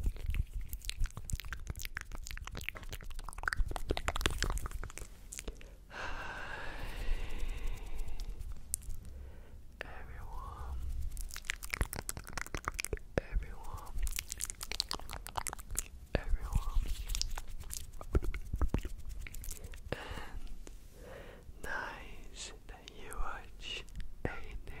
everyone, everyone, everyone, and nice that you watch a new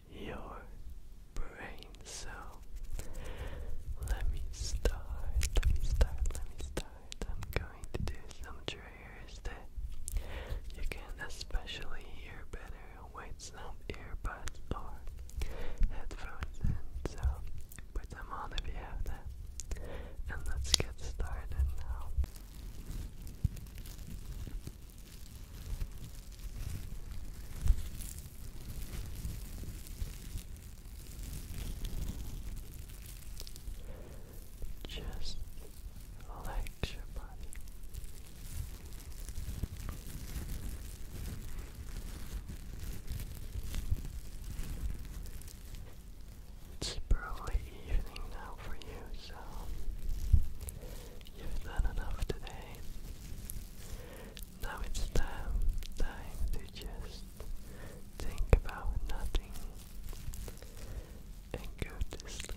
your brain. So let me start, let me start, let me start. I'm going to do some triggers that you can especially hear better with some earbuds or headphones in. So put them on if you have them. And let's get started now. Just relax your body. It's probably evening now for you, so You've done enough today. Now it's time, time to just think about nothing and go to sleep.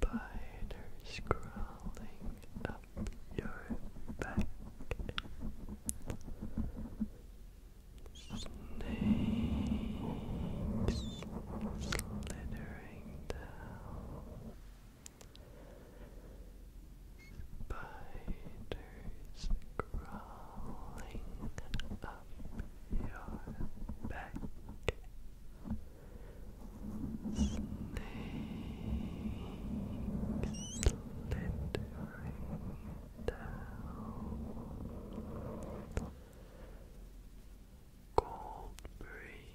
Spiders crawling up up your back. Snakes slithering down. Spiders crawling up your back down. Cold breeze. Cold breeze.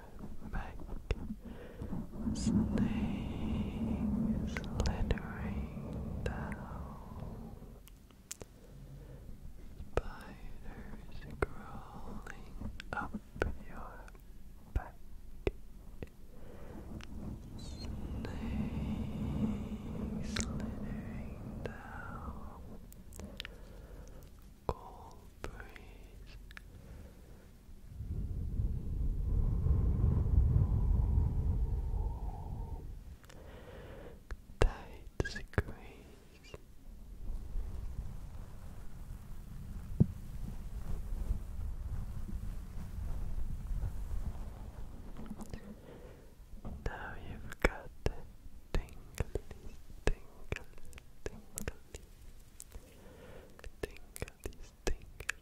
back, snake slithering down, spiders crawling up your back, snake slithering down cool breeze. Tight squeeze. Now you've got the tingly, tingly, tingly, Tingly, tingly,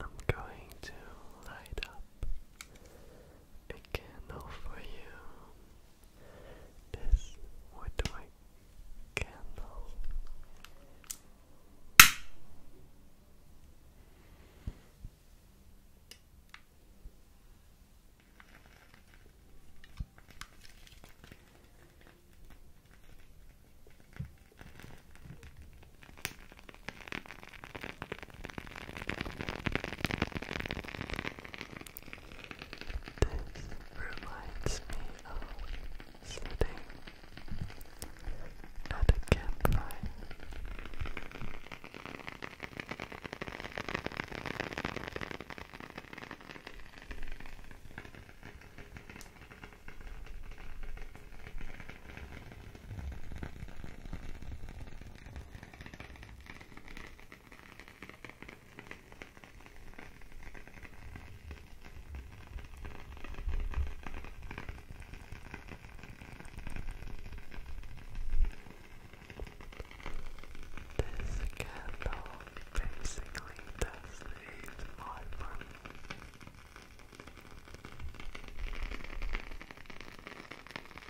I'm going to light up a candle for you. This would my candle. This reminds me of sitting at a campfire. This candle basically does the my for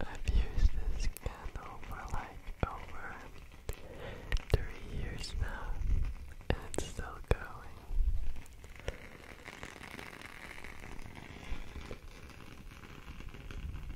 I've used this candle for like over three years now, and it's still going.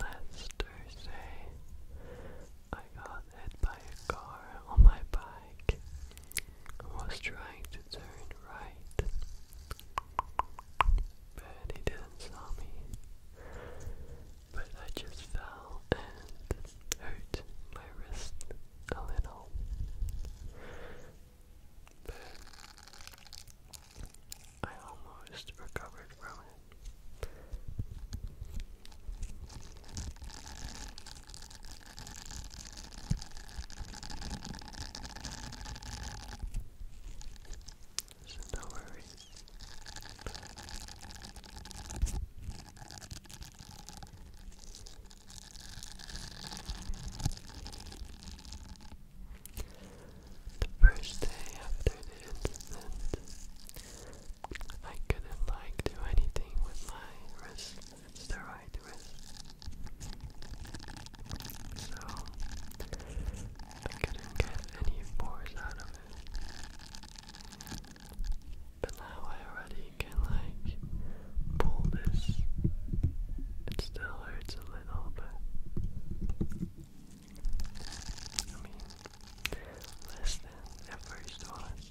Last Thursday, I got hit by a car on my bike bike was trying to turn right, but he didn't saw me. But I just fell and hurt my wrist a little. But I almost recovered from it. So no worries. The first day after the incident, I couldn't like do anything with my wrist it's the right wrist. So I couldn't get any pores out of it. But now I already can like pull this. It still hurts a little but I mean less than at first was.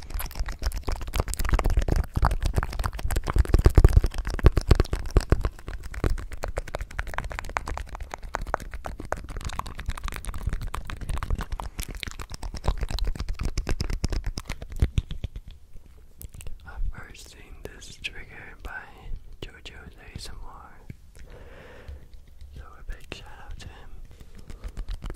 I've first seen this trigger by JoJo's ASMR. So a big shout out to him.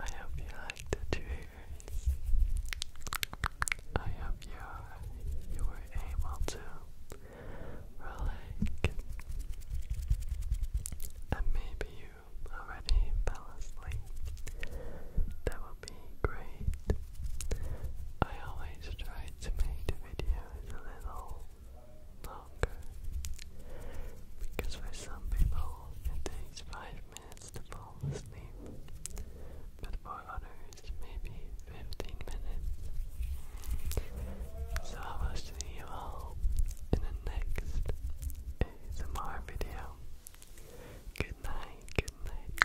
I hope you like the triggers. I hope you you were able to relax, and maybe you already fell asleep. That would be great. I always try tried to make the videos a little longer because for some people it takes 5 minutes to fall asleep, but for others maybe 15 minutes. So I will see you all in the next ASMR video. good night. Good night.